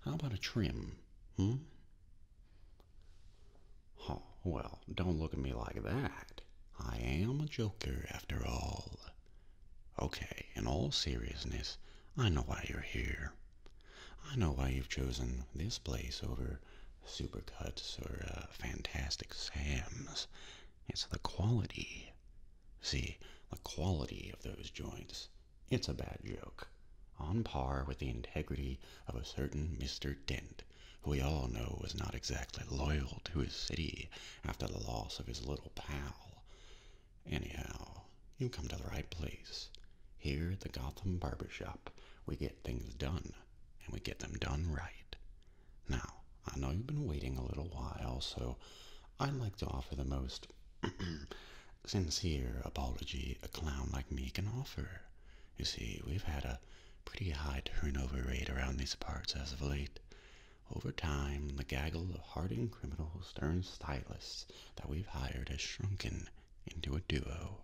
How about a trim? Hmm? Oh, well, don't look at me like that. I am a joker after all. Okay, in all seriousness, I know why you're here. I know why you've chosen this place over Supercuts or uh, Fantastic Sam's. It's the quality. See, the quality of those joints it's a bad joke, on par with the integrity of a certain Mr. Dent, who we all know was not exactly loyal to his city after the loss of his little pal. Anyhow, you have come to the right place. Here at the Gotham Barber Shop, we get things done, and we get them done right. Now, I know you've been waiting a little while, so I'd like to offer the most sincere apology a clown like me can offer. You see, we've had a pretty high turnover rate around these parts as of late. Over time, the gaggle of hardened criminals turned stylists that we've hired has shrunken into a duo.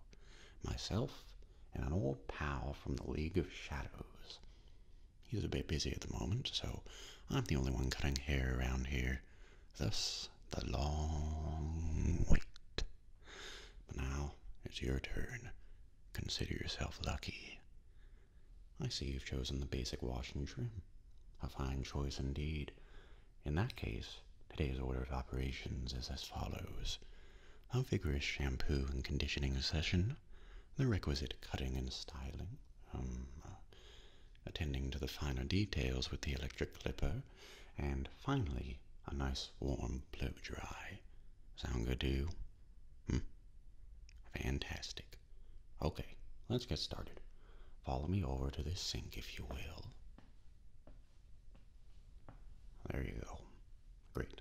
Myself and an old pal from the League of Shadows. He's a bit busy at the moment, so I'm the only one cutting hair around here thus the long wait. But now it's your turn. Consider yourself lucky. I see you've chosen the basic wash and trim. A fine choice indeed. In that case, today's order of operations is as follows. A vigorous shampoo and conditioning session, the requisite cutting and styling, um, uh, attending to the finer details with the electric clipper, and finally a nice warm blow dry. Sound good to you? Hmm. Fantastic. Okay, let's get started. Follow me over to this sink if you will. There you go. Great.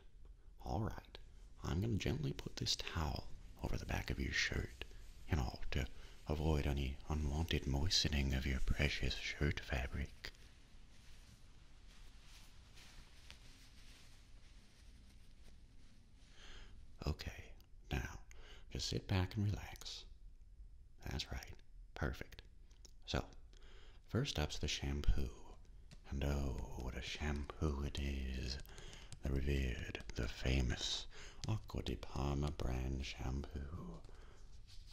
All right. I'm going to gently put this towel over the back of your shirt you know, to avoid any unwanted moistening of your precious shirt fabric. Okay, now just sit back and relax. That's right, perfect. So, first up's the shampoo. And oh, what a shampoo it is! The revered, the famous Acqua di Parma brand shampoo.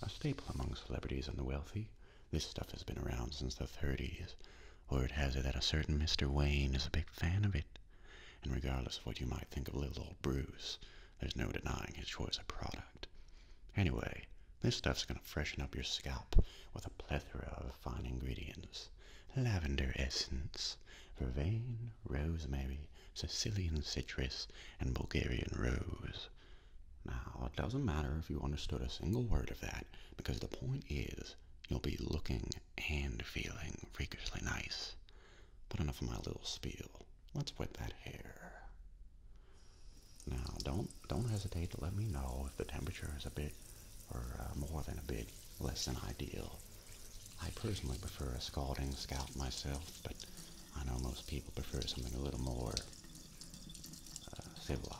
A staple among celebrities and the wealthy. This stuff has been around since the 30s. Word has it that a certain Mr. Wayne is a big fan of it. And regardless of what you might think of little old Bruce, there's no denying his choice of product. Anyway, this stuff's gonna freshen up your scalp with a plethora of fine ingredients. Lavender essence, vervain, rosemary, Sicilian citrus, and Bulgarian rose. Now, it doesn't matter if you understood a single word of that, because the point is, you'll be looking and feeling freakishly nice. But enough of my little spiel. Let's wet that hair. Now, don't don't hesitate to let me know if the temperature is a bit, or uh, more than a bit, less than ideal. I personally prefer a scalding scalp myself, but I know most people prefer something a little more uh, civilized.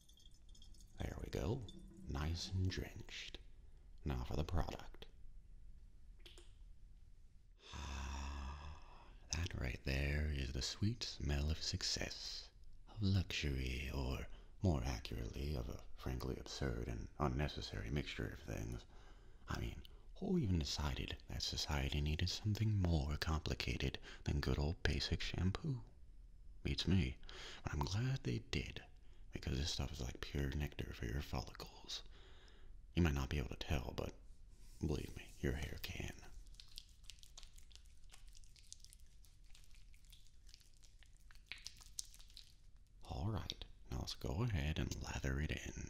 There we go, nice and drenched. Now for the product. Ah, that right there is the sweet smell of success, of luxury, or more accurately, of a frankly absurd and unnecessary mixture of things. I mean, who even decided that society needed something more complicated than good old basic shampoo? you me. But I'm glad they did, because this stuff is like pure nectar for your follicles. You might not be able to tell, but believe me, your hair can. Alright, now let's go ahead and lather it in.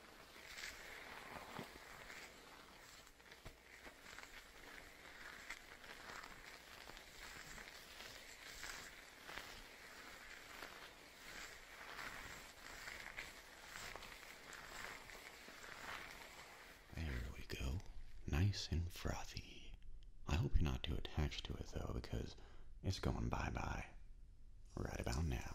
There we go. Nice and frothy. I hope you're not too attached to it though, because it's going bye bye right about now.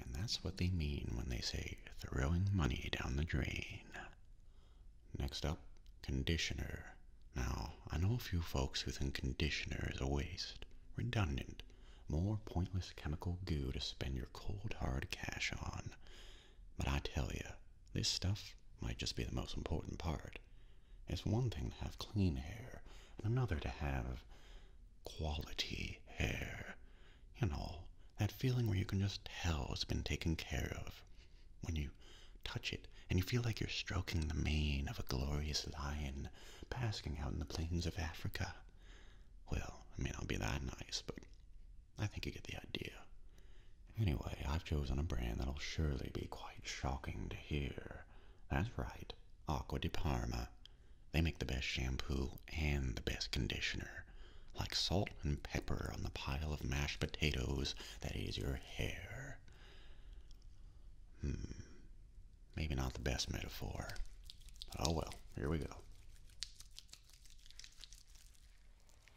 And that's what they mean when they say throwing money down the drain. Next up, conditioner. Now, I know a few folks who think conditioner is a waste, redundant, more pointless chemical goo to spend your cold hard cash on. But I tell you, this stuff might just be the most important part. It's one thing to have clean hair, and another to have quality hair. You know, that feeling where you can just tell it's been taken care of. When you touch it, and you feel like you're stroking the mane of a glorious lion, basking out in the plains of Africa. Well, it may not be that nice, but I think you get the idea. Anyway, I've chosen a brand that'll surely be quite shocking to hear. That's right, Aqua di Parma. They make the best shampoo and the best conditioner. Like salt and pepper on the pile of mashed potatoes that is your hair. Hmm, maybe not the best metaphor. oh well, here we go.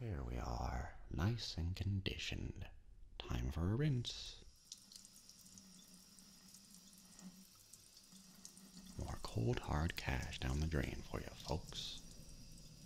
Here we are, nice and conditioned. Time for a rinse. More cold hard cash down the drain for you, folks.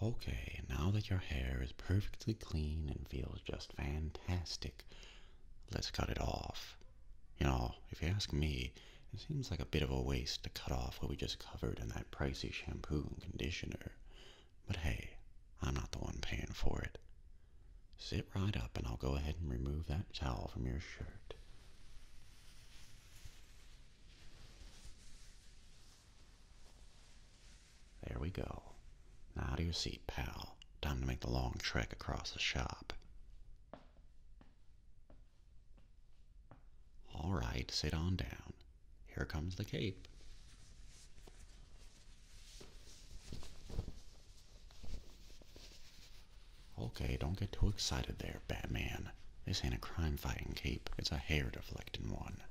Okay, now that your hair is perfectly clean and feels just fantastic, let's cut it off. You know, if you ask me, it seems like a bit of a waste to cut off what we just covered in that pricey shampoo and conditioner. But hey, I'm not the one paying for it. Sit right up and I'll go ahead and remove that towel from your shirt. There we go. Now to your seat, pal. Time to make the long trek across the shop. All right, sit on down. Here comes the cape. Okay, don't get too excited there, Batman. This ain't a crime-fighting cape, it's a hair-deflecting one.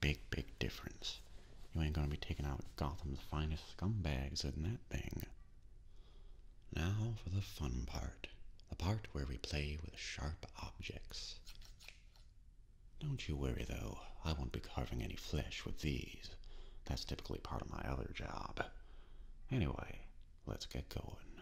Big, big difference. You ain't gonna be taking out Gotham's finest scumbags in that thing. Now for the fun part. The part where we play with sharp objects. Don't you worry though, I won't be carving any flesh with these. That's typically part of my other job. Anyway, let's get going.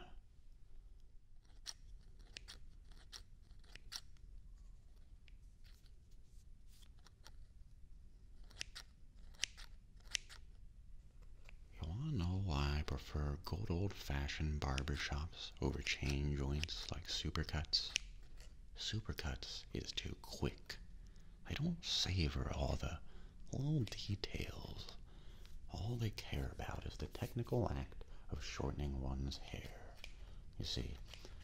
You want to know why I prefer good old-fashioned barber shops over chain joints like Supercuts? Supercuts is too quick. I don't savor all the little details. All they care about is the technical act of shortening one's hair. You see,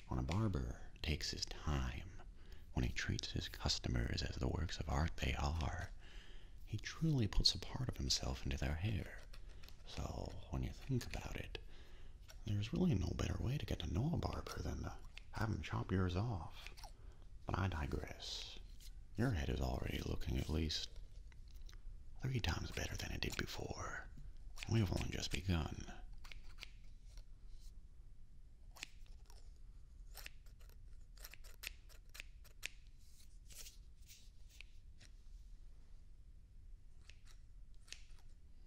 when a barber takes his time, when he treats his customers as the works of art they are, he truly puts a part of himself into their hair. So, when you think about it, there's really no better way to get to know a barber than to have him chop yours off. But I digress. Your head is already looking at least Three times better than it did before. we've only just begun.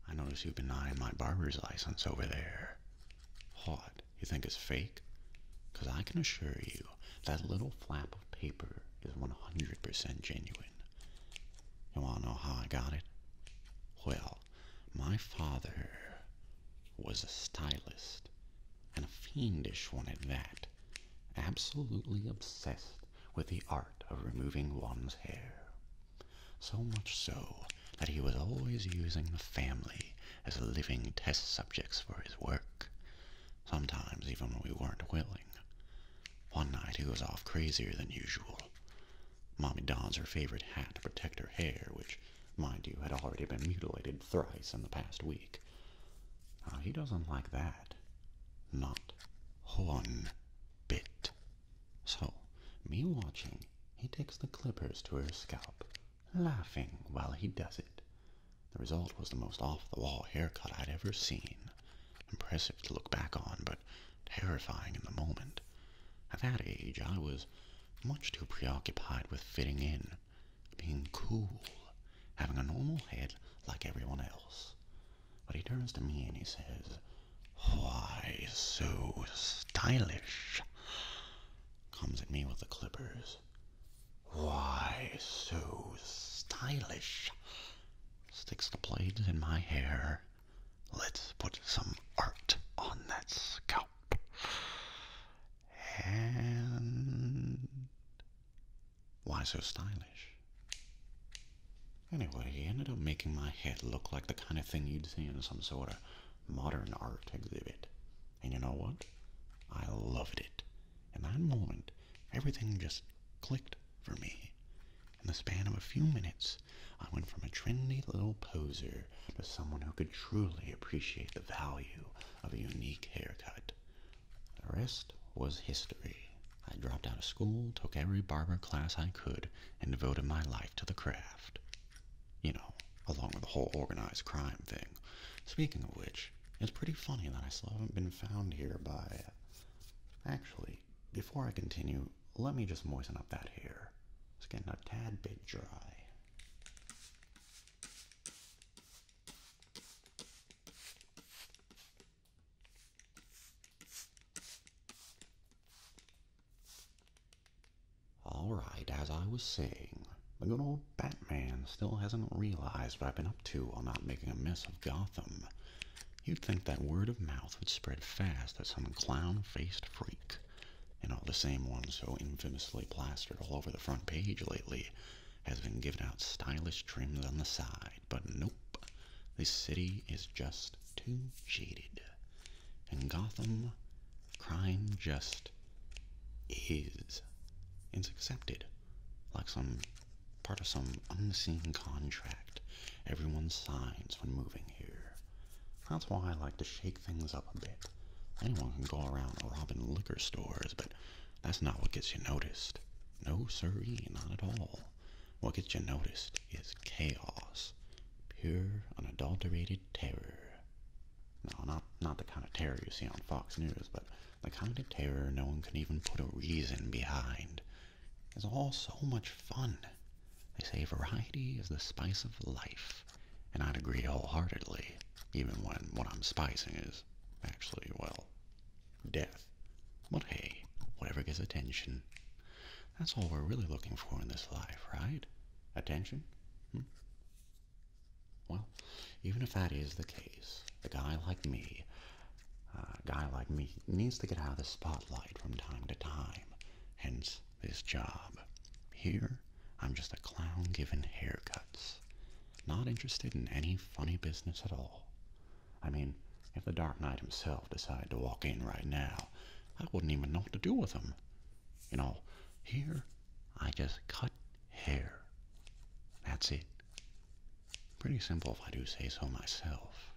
I notice you've been eyeing my barber's license over there. Hot? You think it's fake? Because I can assure you that little flap of paper is 100% genuine doing? You want to know how I got it? Well, my father was a stylist, and a fiendish one at that, absolutely obsessed with the art of removing one's hair. So much so that he was always using the family as living test subjects for his work, sometimes even when we weren't willing. One night he was off crazier than usual. Mommy dons her favorite hat to protect her hair, which, mind you, had already been mutilated thrice in the past week. he doesn't like that. Not one bit. So, me watching, he takes the clippers to her scalp, laughing while he does it. The result was the most off the wall haircut I'd ever seen. Impressive to look back on, but terrifying in the moment. At that age, I was much too preoccupied with fitting in, being cool, having a normal head like everyone else. But he turns to me and he says, Why so stylish? Comes at me with the clippers. Why so stylish? Sticks the blades in my hair. Let's put some art on that scalp. And why so stylish? Anyway, he ended up making my head look like the kind of thing you'd see in some sort of modern art exhibit. And you know what? I loved it. In that moment, everything just clicked for me. In the span of a few minutes, I went from a trendy little poser to someone who could truly appreciate the value of a unique haircut. The rest was history. I dropped out of school, took every barber class I could, and devoted my life to the craft. You know, along with the whole organized crime thing. Speaking of which, it's pretty funny that I still haven't been found here by. Actually, before I continue, let me just moisten up that hair. It's getting a tad bit dry. Alright, as I was saying, the good old Batman still hasn't realized what I've been up to while not making a mess of Gotham. You'd think that word of mouth would spread fast that some clown-faced freak, and all the same one so infamously plastered all over the front page lately, has been giving out stylish trims on the side. But nope, this city is just too shaded, and Gotham, crime just is. is accepted, like some part of some unseen contract everyone signs when moving here. That's why I like to shake things up a bit. Anyone can go around robbing liquor stores, but that's not what gets you noticed. No siree, not at all. What gets you noticed is chaos. Pure, unadulterated terror. No, not, not the kind of terror you see on Fox News, but the kind of terror no one can even put a reason behind is all so much fun. They say variety is the spice of life, and I'd agree wholeheartedly, even when what I'm spicing is actually, well, death. But hey, whatever gets attention, that's all we're really looking for in this life, right? Attention? Hmm? Well, even if that is the case, a guy like me a guy like me needs to get out of the spotlight from time to time, hence this job. Here, I'm just a clown giving haircuts. Not interested in any funny business at all. I mean, if the Dark Knight himself decided to walk in right now, I wouldn't even know what to do with him. You know, here, I just cut hair. That's it. Pretty simple if I do say so myself.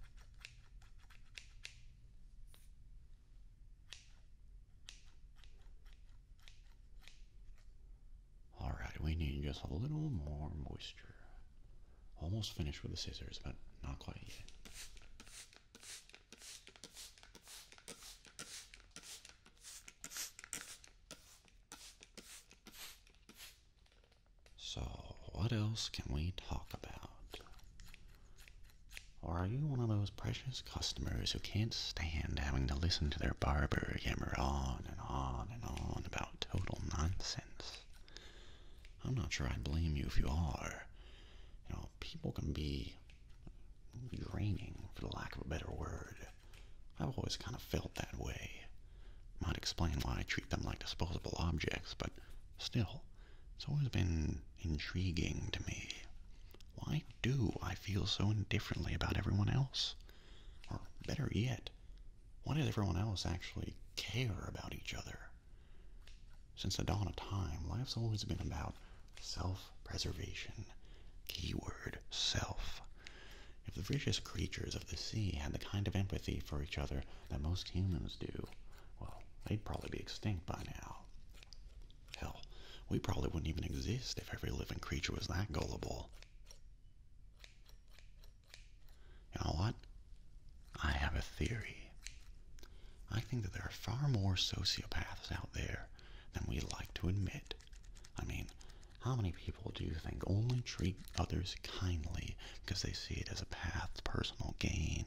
All right, we need just a little more moisture. Almost finished with the scissors, but not quite yet. So, what else can we talk about? Or are you one of those precious customers who can't stand having to listen to their barber yammer on and on and on about total nonsense? I'm not sure I blame you if you are. You know, people can be draining, for the lack of a better word. I've always kind of felt that way. Might explain why I treat them like disposable objects, but still, it's always been intriguing to me. Why do I feel so indifferently about everyone else? Or better yet, why does everyone else actually care about each other? Since the dawn of time, life's always been about self preservation. Keyword self. If the vicious creatures of the sea had the kind of empathy for each other that most humans do, well, they'd probably be extinct by now. Hell, we probably wouldn't even exist if every living creature was that gullible. You know what? I have a theory. I think that there are far more sociopaths out there than we like to admit. I mean, how many people do you think only treat others kindly because they see it as a path to personal gain.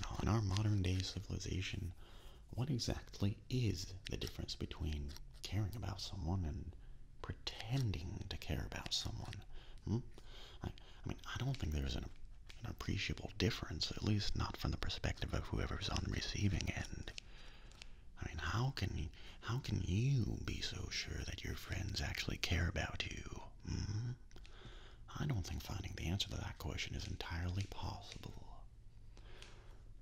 Now, in our modern day civilization, what exactly is the difference between caring about someone and pretending to care about someone? Hmm? I, mean, I don't think there's an, appreciable difference, at least not from the perspective of whoever's on the receiving end. I mean, how can how can you be so sure that your friends actually care about you? Hmm? I don't think finding the answer to that question is entirely possible.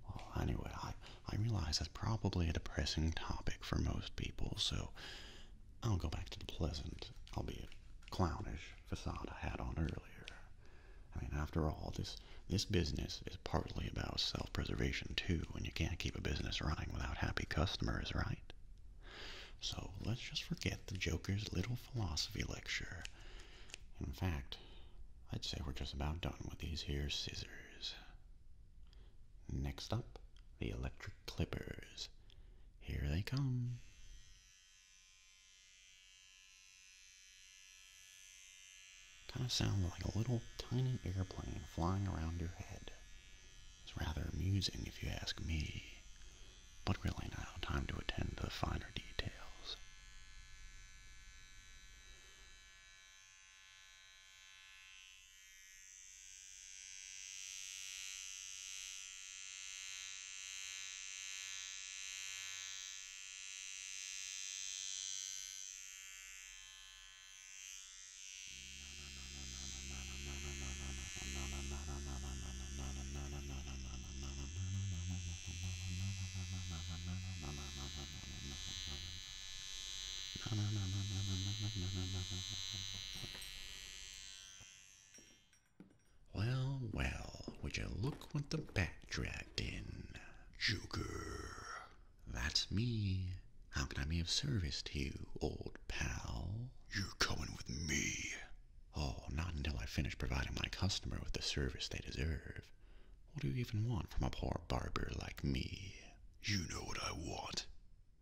Well, anyway, I, I realize that's probably a depressing topic for most people, so I'll go back to the pleasant, albeit clownish, facade I had on earlier. I mean, after all, this, this business is partly about self-preservation, too, and you can't keep a business running without happy customers, right? So let's just forget the Joker's little philosophy lecture. In fact, I'd say we're just about done with these here scissors. Next up, the electric clippers. Here they come. Kind of sounds like a little tiny airplane flying around your head. It's rather amusing if you ask me, but really now time to attend to the finer details. Well, well, would you look what the bat dragged in? Joker. That's me. How can I be of service to you, old pal. You're coming with me. Oh, not until I finish providing my customer with the service they deserve. What do you even want from a poor barber like me? You know what I want.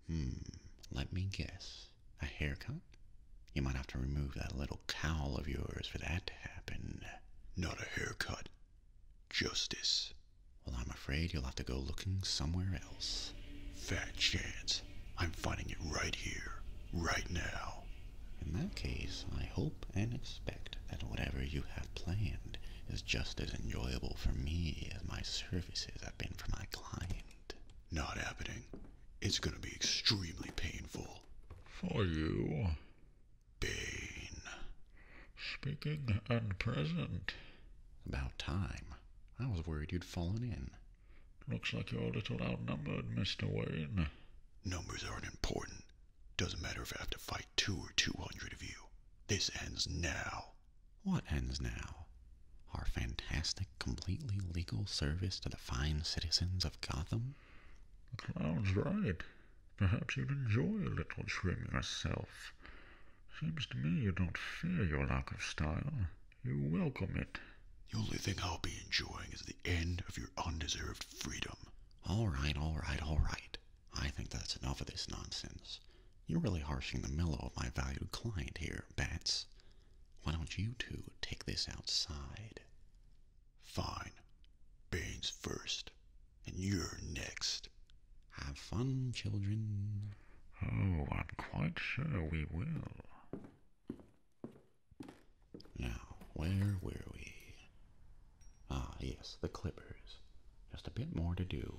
Hmm, let me guess. A haircut? You might have to remove that little cowl of yours for that to happen. Not a haircut. Justice. Well, I'm afraid you'll have to go looking somewhere Fat chance. I'm finding it right here, right now. In that case, I hope and expect that whatever you have planned is just as enjoyable for me as my services have been for my client. Not happening. It's gonna be extremely painful. For you. Bane. Speaking and present. About time. I was worried you'd fallen in. Looks like you're a little outnumbered, Mr. Wayne. Numbers aren't important. Doesn't matter if I have to fight two or two hundred of you. This ends now. What ends now? Our fantastic, completely legal service to the fine citizens of Gotham? The clown's right. Perhaps you'd enjoy a little trim yourself. Seems to me you don't fear your lack of style. You welcome it. The only thing I'll be enjoying is the end of your undeserved freedom. All right, all right, all right. I think that's enough of this nonsense. You're really harshing the mellow of my valued client here, Bats. Why don't you two take this outside? Fine. Bane's first, and you're next. Have fun, children. Oh, I'm quite sure we will. Now, where were we? Ah, yes, the clippers. Just a bit more to do.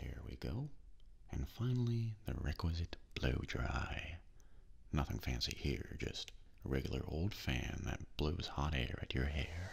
There we go. And finally, the requisite blow dry. Nothing fancy here, just a regular old fan that blows hot air at your hair.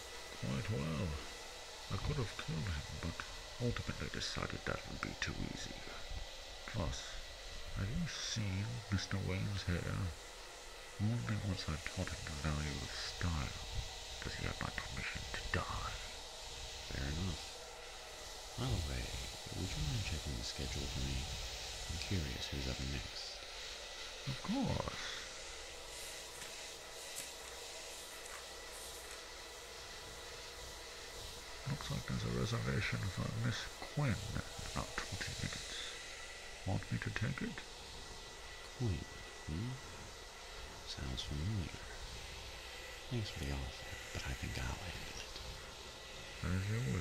quite well. I could have killed him, but ultimately decided that would be too easy. Plus, have you seen Mr. Wayne's hair? Only once I taught him the value of style does he have my permission to die. Fair enough. By the way, would you mind checking the schedule for me? I'm curious who's up next. Of course. Looks like there's a reservation for Miss Quinn in about 20 minutes. Want me to take it? Quinn, hmm? Sounds familiar. Thanks for the offer, but I think I'll handle it. As you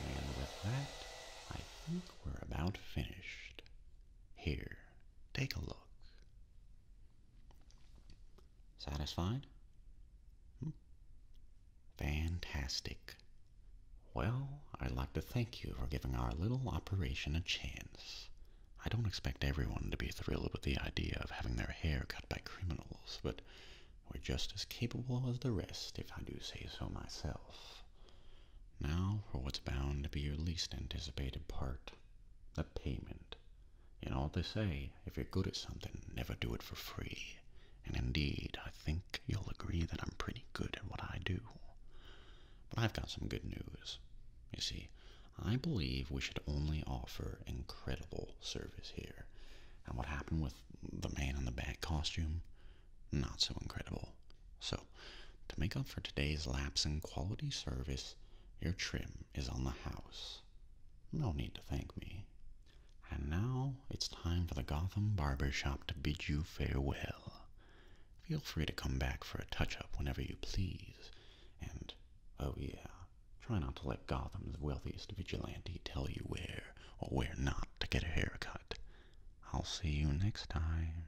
And with that, I think we're about finished. Here, take a look. Satisfied? Hmm. Fantastic. Well, I'd like to thank you for giving our little operation a chance. I don't expect everyone to be thrilled with the idea of having their hair cut by criminals, but we're just as capable as the rest, if I do say so myself. Now for what's bound to be your least anticipated part a payment. You know, what they say if you're good at something, never do it for free. And indeed, I think you'll agree that I'm pretty good at what I do. But I've got some good news. You see, I believe we should only offer incredible service here. And what happened with the man in the bat costume? Not so incredible. So to make up for today's lapse in quality service, your trim is on the house. No need to thank me. And now it's time for the Gotham Barber Shop to bid you farewell. Feel free to come back for a touch up whenever you please. And, oh yeah, try not to let Gotham's wealthiest vigilante tell you where or where not to get a haircut. I'll see you next time.